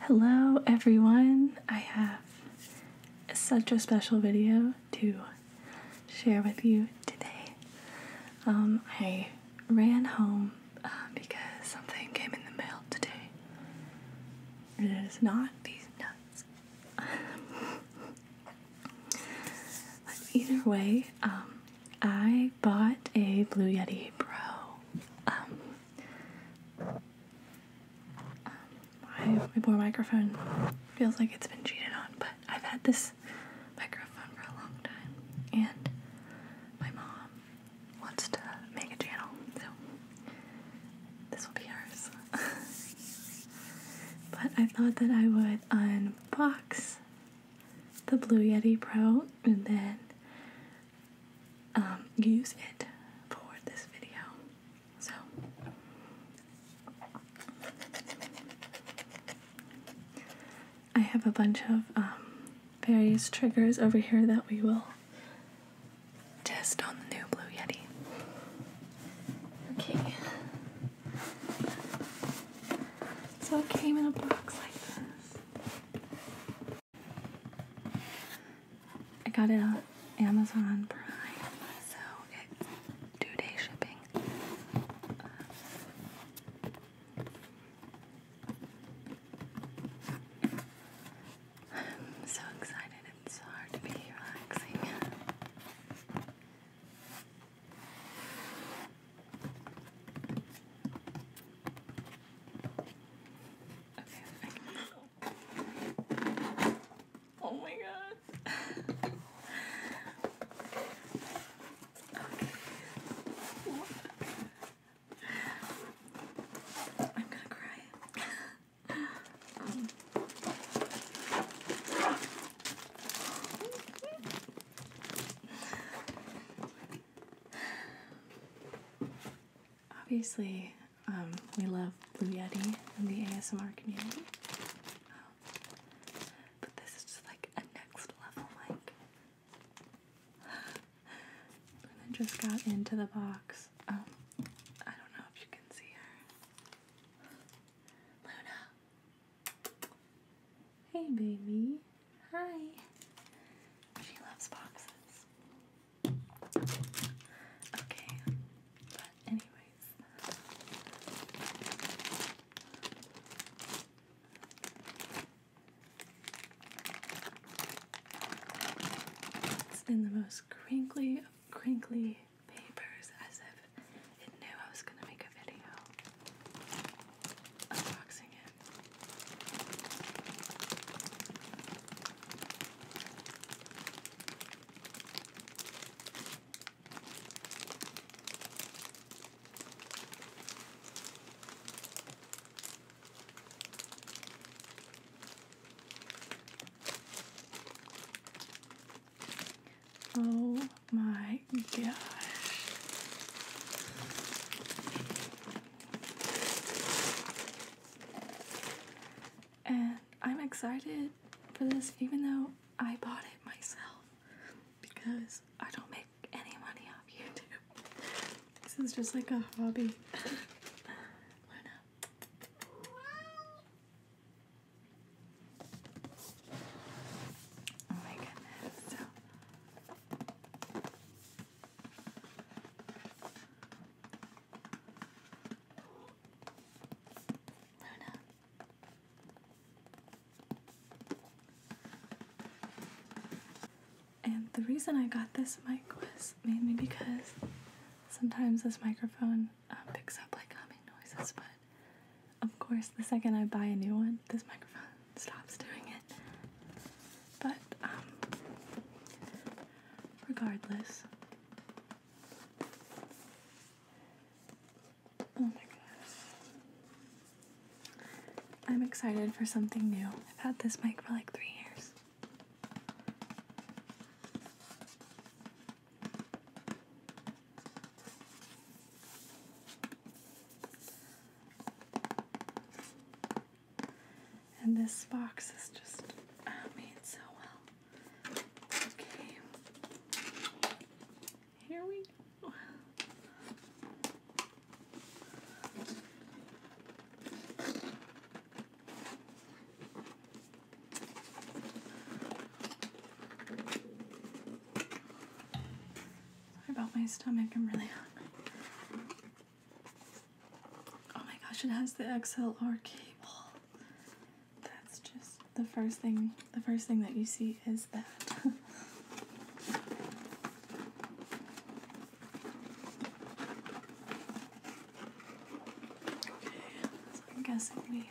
Hello, everyone. I have such a special video to share with you today. Um, I ran home uh, because something came in the mail today. It is not these nuts. but either way, um, I bought a Blue Yeti Pro. my um, poor um, microphone feels like it's been cheated on, but I've had this microphone for a long time, and my mom wants to make a channel, so this will be ours. but I thought that I would unbox the Blue Yeti Pro and then um, use it for this video. So, I have a bunch of um, various triggers over here that we will test on the new Blue Yeti. Okay. So it came in a box like this. I got it on Amazon Prime, so two day shipping. I'm so excited, it's so hard to be relaxing. Okay, oh my god. okay. I'm gonna cry. um. Obviously, um, we love Blue Yeti in the ASMR community, but this is like a next level. Like, and just got into the box. Um, I don't know if you can see her, Luna. Hey, baby. Hi. She loves boxes. Okay. But anyways. It's in the most crinkly crinkly papers as if it knew I was gonna make a video unboxing it. Oh, my gosh, and I'm excited for this, even though I bought it myself because I don't make any money off YouTube. This is just like a hobby. Oh my goodness. And the reason I got this mic was mainly because sometimes this microphone um, picks up like humming noises, but of course, the second I buy a new one, this microphone stops doing it. But, um, regardless. Oh my gosh. I'm excited for something new. I've had this mic for like three years. And this box is just ah, made so well. Okay. Here we go about my stomach. I'm really hungry. Oh my gosh, it has the XLR cable. That's just the first thing. The first thing that you see is that. okay, so I'm guessing we.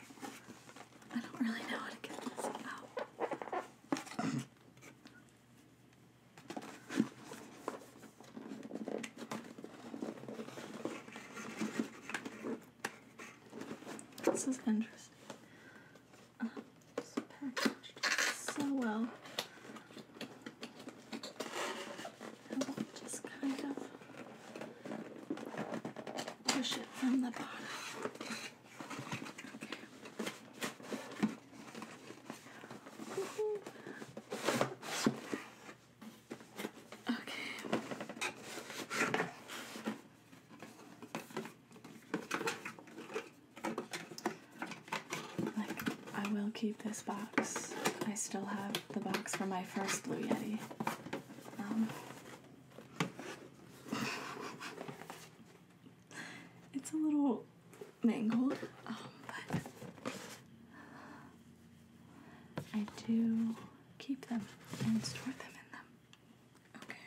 I don't really know how to get this out. This is interesting. Uh, it's packaged so well. just kind of push it from the bottom. Okay. Like, I will keep this box. I still have the box for my first Blue Yeti. Um, it's a little mangled, um, but I do keep them and store them in them. Okay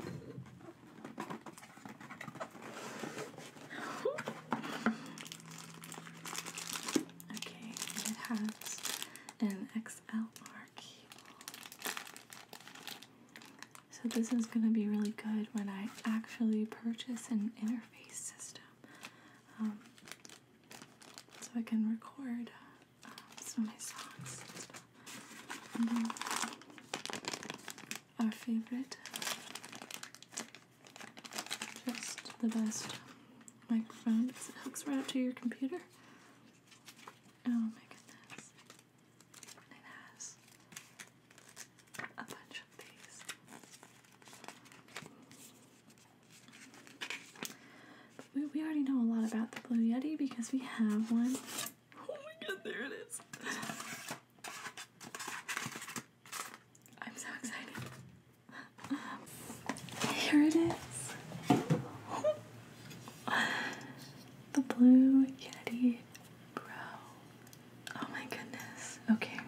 okay, it has an XLR cable. So this is going to be really good when I actually purchase an interface system. Um, so I can record uh, some of my songs our favorite. Just the best microphone. It hooks right up to your computer. Oh my goodness. It has a bunch of these. we, we already know a lot about the Blue Yeti because we have one Oh my god, there it is. I'm so excited. Here it is. The blue Yeti Bro. Oh my goodness. Okay.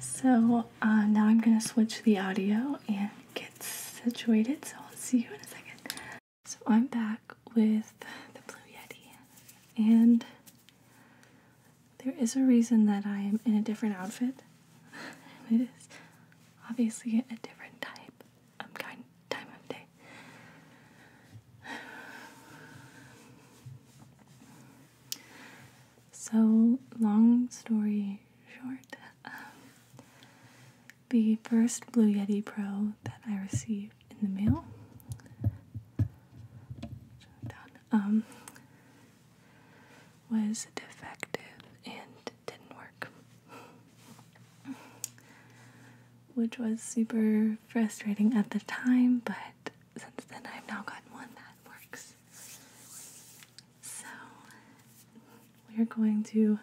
So uh, now I'm going to switch the audio and get situated. So I'll see you in a second. So I'm back with the Blue Yeti, and there is a reason that I am in a different outfit. it is obviously a different type of kind time of day. So long story short, um, the first Blue Yeti Pro that I received in the mail. Um, was defective and didn't work, which was super frustrating at the time. But since then, I've now gotten one that works. So we're going to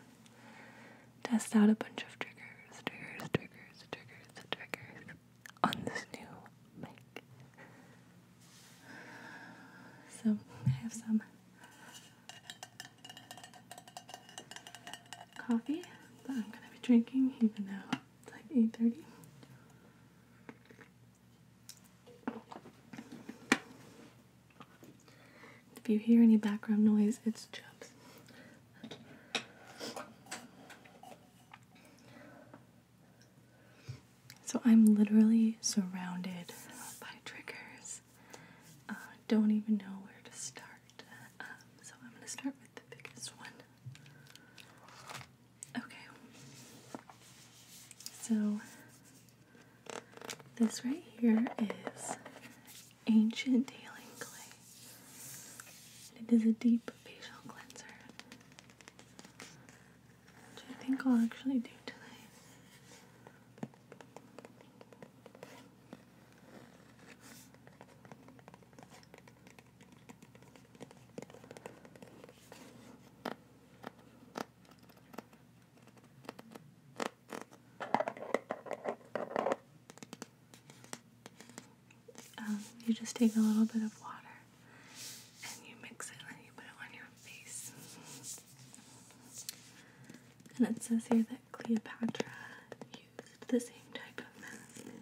test out a bunch of triggers, triggers, triggers, triggers, triggers on this new mic. So I have some coffee that I'm gonna be drinking even though it's like 8.30. If you hear any background noise, it's Chubbs. So I'm literally surrounded by triggers. Uh, don't even know where to start. Um, so I'm going to start with the biggest one. Okay. So this right here is Ancient Healing Clay. it is a deep facial cleanser. Which I think I'll actually do tonight. Um, you just take a little bit of water and you mix it and you put it on your face. And it says here that Cleopatra used the same type of mask.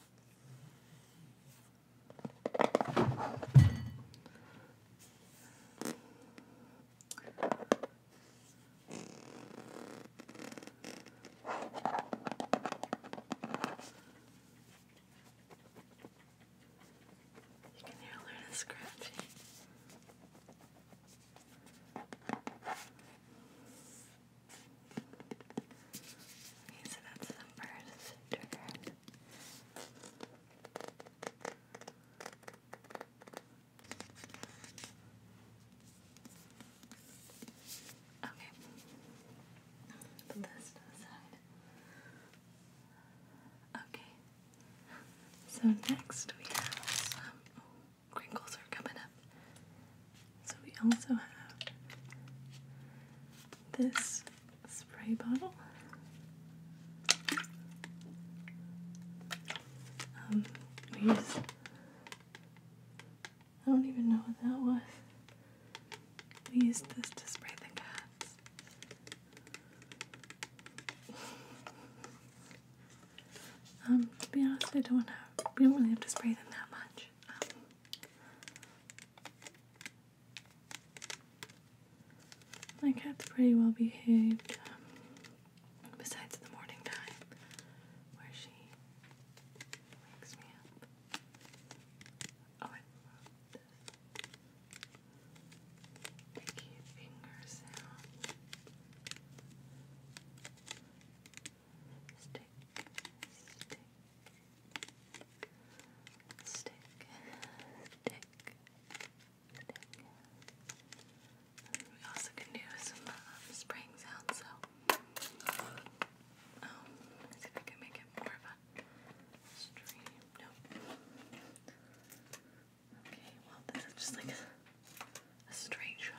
You can hear a little bit of scratching so that's the first turn. Okay. Put this to the side. Okay. So next we have crinkles are coming up. So we also have this spray bottle. Um, we use, I don't even know what that was. We used this to spray the cats. um, to be honest, I don't have, we don't really have to spray them that much. Um, my cat's pretty well behaved, um, besides the morning time where she wakes me up. Oh, I love this finger sound stick, stick, stick, stick, stick. We also can do some um, sounds, so um, let's can make it more of a stream. No. Okay, well, this is just like a straight shot.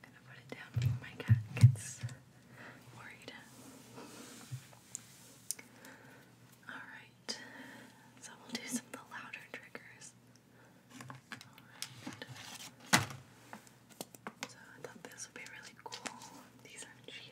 gonna put it down my cat gets worried. Alright, so we'll do some of the louder triggers. So I thought this would be really cool. These are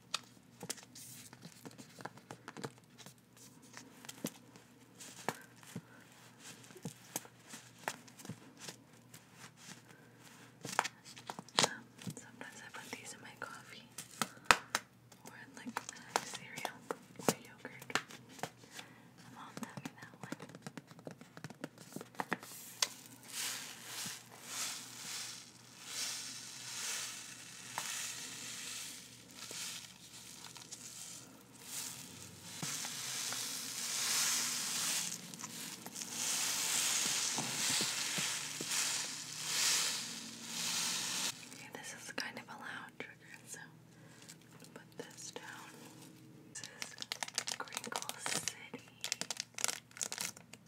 Um, sometimes I put these in my coffee or in like cereal or yogurt. I'm all having that one. Okay, this is kind of a loud trigger, so put this down. This is Crinkle City.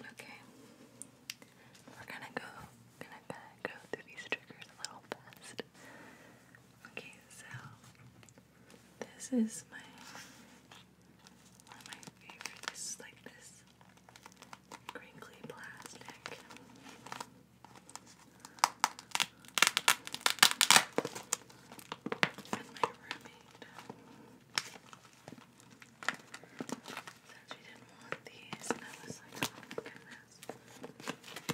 Okay. We're gonna go gonna go through these triggers a little fast. Okay, so this is my one of my favorite. like this crinkly plastic. And my roommate said she didn't want these, and I was like, oh my goodness,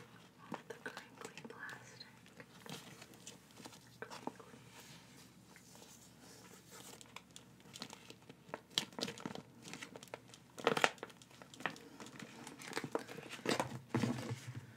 all the crinkly plastic. Crinkly. I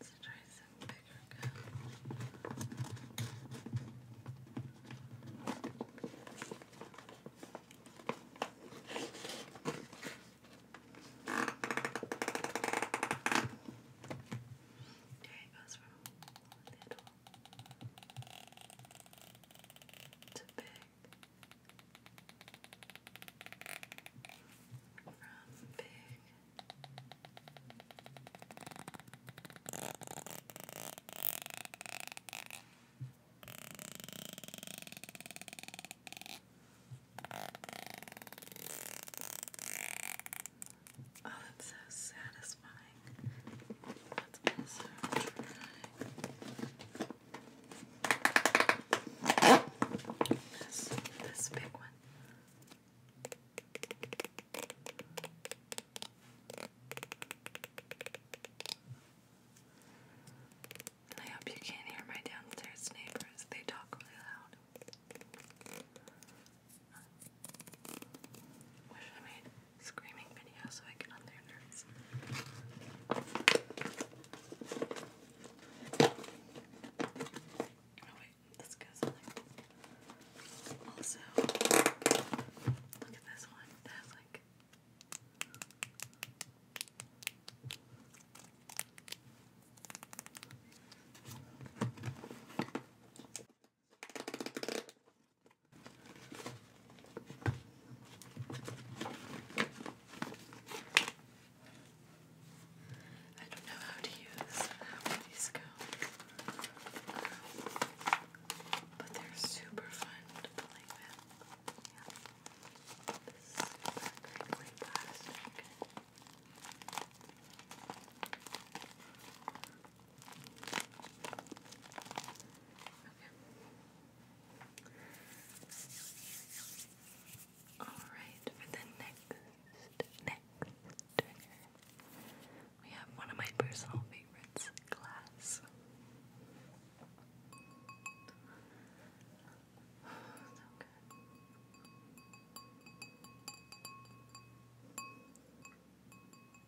Let's try some bigger gums. Okay, it goes from little to big. From big Oh, that's so satisfying. Let's this, this big one. I hope you can't hear my downstairs neighbors. They talk really loud. Wish I made screaming video so I get on their nerves. Oh, also, look at this one. That has like I don't know how to use half of these cones, um, but they're super fun to play with. Yeah. This is super crinkly plastic. Okay. Alright, for the next, next we have one of my personal favorites, glass. so good.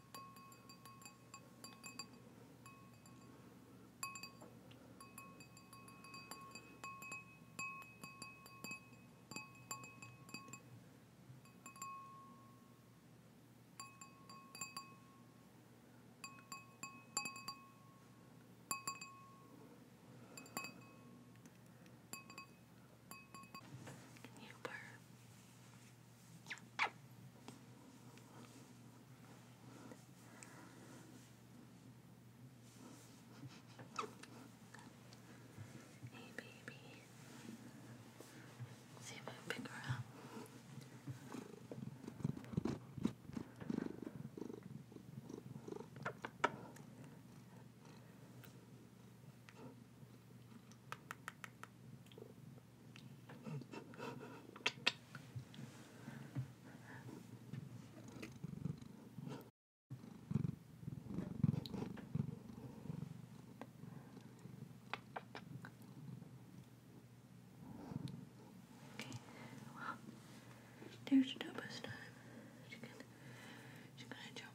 Can you burp? Hey, baby. See if I can pick her up. Good well, there's Dubba's time. She's gonna, she's jump.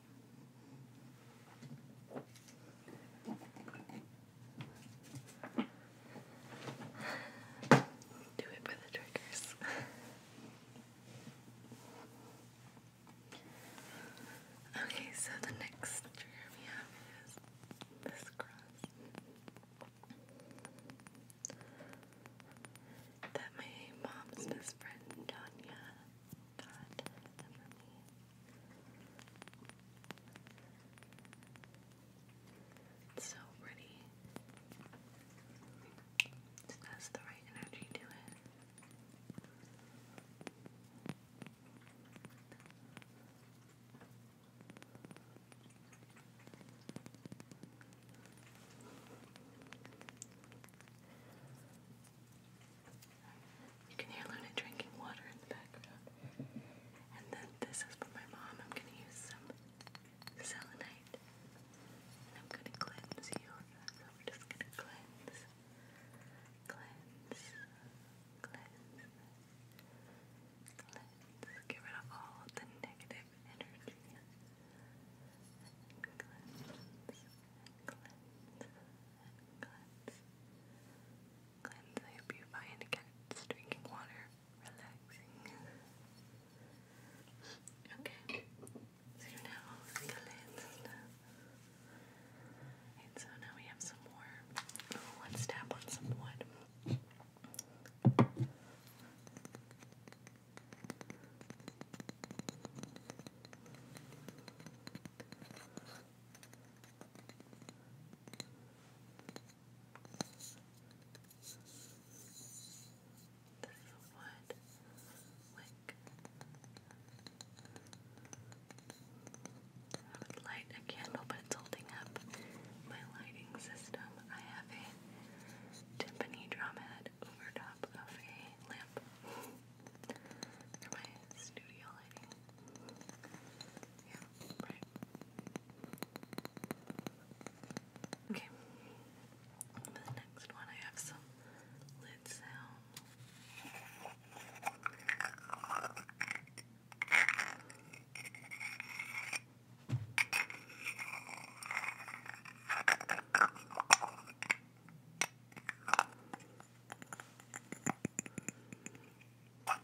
Do it for the triggers. okay, so the next trigger we have is this cross. That my mom's best friend, Tanya, got for me. It's so pretty. It the right energy to it. You can hear Luna drinking water in the background. And then this is for my mom. I'm gonna use some selenite. And I'm gonna cleanse you. So we're just gonna cleanse. Cleanse. Cleanse. Cleanse. Get rid of all the negative energy. cleanse. cleanse. cleanse cleanse. I hope you find again drinking water relaxing. okay. So now all of the and so now we have some more. let's oh, tap on some wood. This is I would light a candle, but it's holding up my lighting system. I have a timpani drumhead over top of a lamp for my studio lighting. Yeah. Right. Okay. For the next one, I have some lid sounds. Some plastic.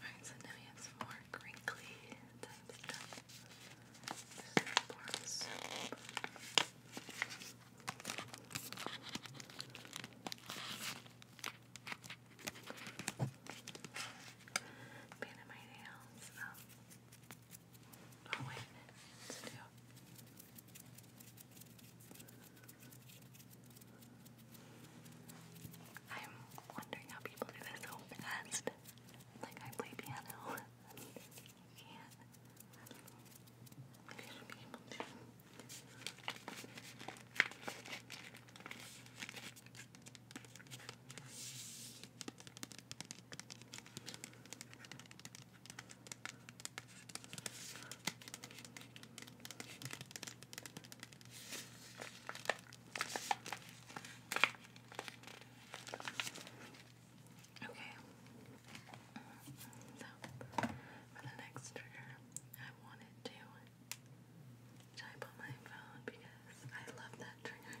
Alright, so now we have some more crinkly type stuff. This is Pin in my nails. Um, Oh wait a minute, it's still. I'm wondering how people do this so fast. Like I play piano. You can't. Maybe I should be able to. Okay. So for the next trigger, I wanted to type on my phone because I love that trigger.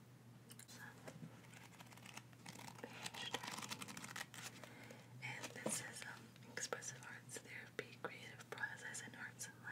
Page turning. And this is um, Expressive Arts Therapy, Creative Process in Arts and Life.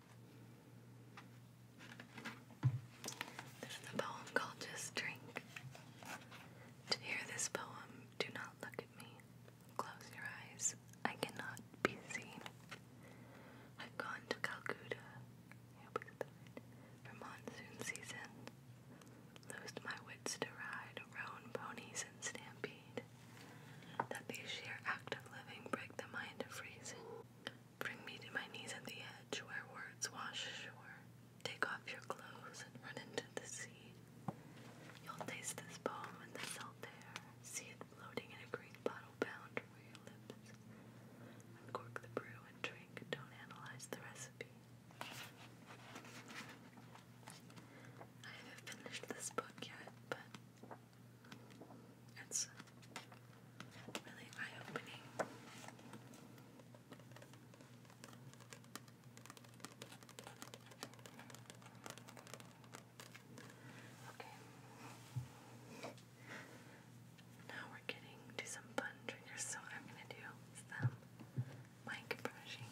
There's a poem called Just Drink. To hear this poem, do not look at me. Close your eyes. I cannot be seen. I've gone to Calcutta for monsoon season. Loosed my wits to ride, roan ponies and stampede. That the sheer act of living break the mind of reason. Bring me to my knees at the edge where words wash ashore. Take off your clothes and run into the sea. You'll taste this poem in the salt air, see it floating in a green bottle bound for your lips. Uncork the brew and drink, don't analyze the recipe. I haven't finished this book yet, but it's really eye opening. Okay. Now we're getting to some fun triggers, so I'm gonna do some um, mic brushing.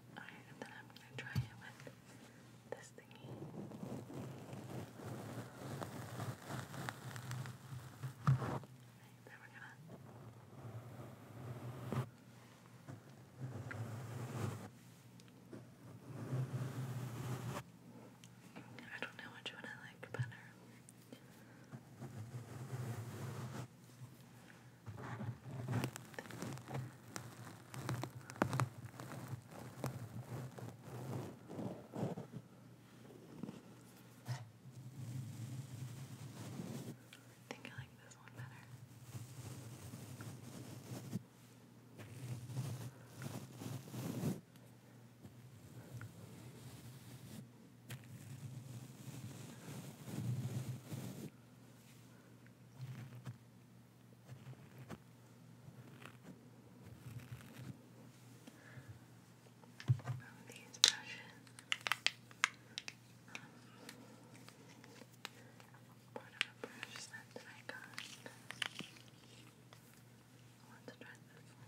Alright, and then I'm gonna try it with this thingy. Alright, then we're gonna I don't know which one I like better. I think I like this one better. From these brushes, um, part brush set that I got. I want to try this one.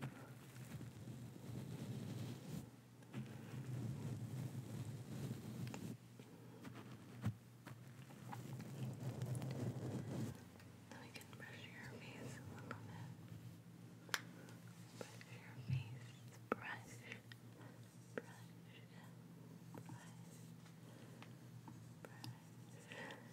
Then we can brush your face a little bit. Brush your face. Brush. Brush. Brush. Brush. Brush.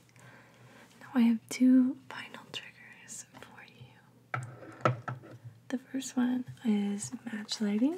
Now I have two final triggers for you. The first one is match lighting.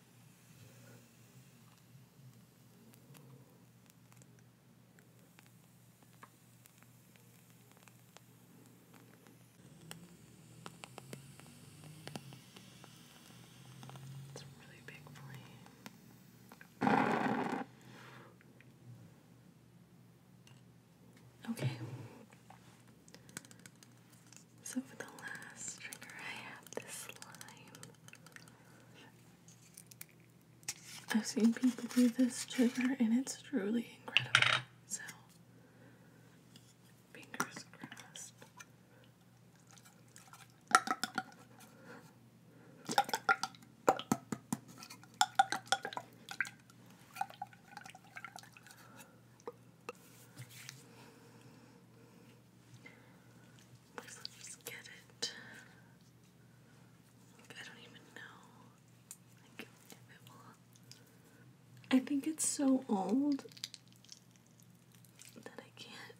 It's a really big flame. Okay. So for the last trigger, I have this slime. I've seen people do this trigger and it's truly incredible. So, fingers crossed. Let's get it. I don't even know. Like if it will. I think it's so old that I can't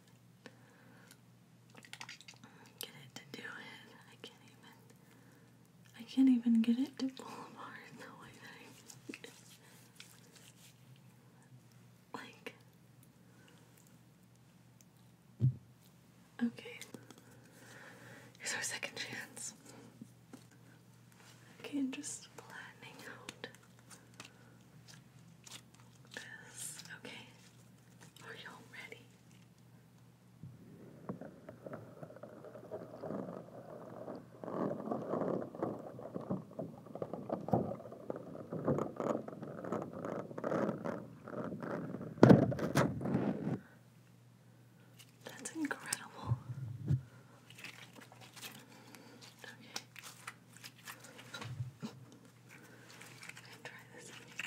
get it to do it. I can't even. I can't even get it to pull apart the way that like, okay, here's our second chance. Okay, just flattening out this. Okay, are y'all ready? That's incredible. Okay. I'm try this out. Let's see.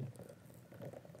Okay.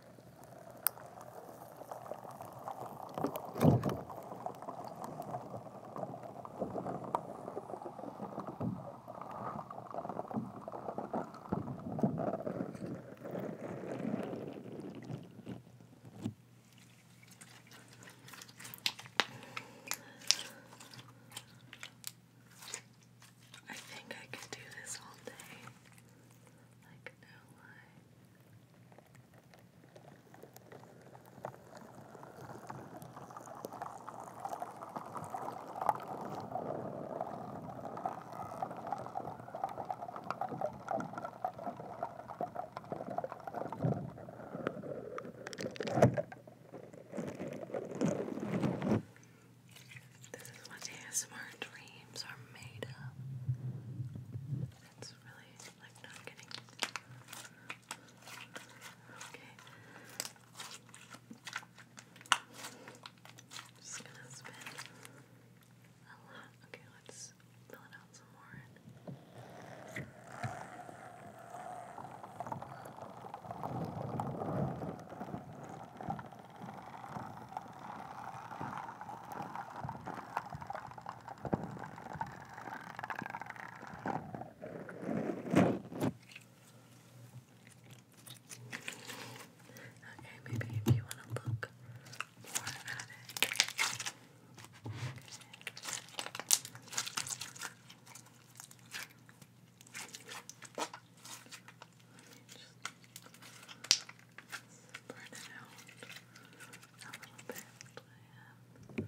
I think I could do this all day. Like no lie. This is what ASMR dreams names are made of. It's really like not getting. Okay. just gonna spin a lot. Okay, let's fill it out some more. Okay, maybe if you want to look more at it. Okay spread it out a little bit. And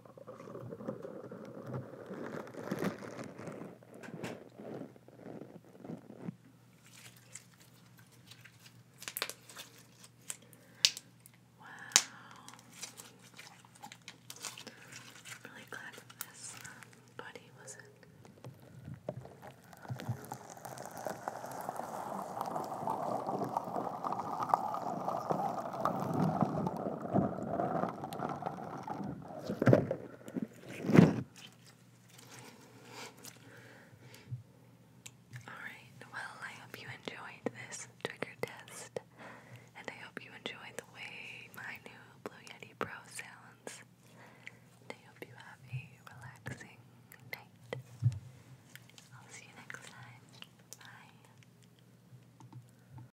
Wow. I'm really glad that this um, buddy wasn't Alright, well, I hope you enjoyed this trigger test, and I hope you enjoyed the way my new Blue Yeti Pro sounds. I hope you have a relaxing night. I'll see you next time. Bye.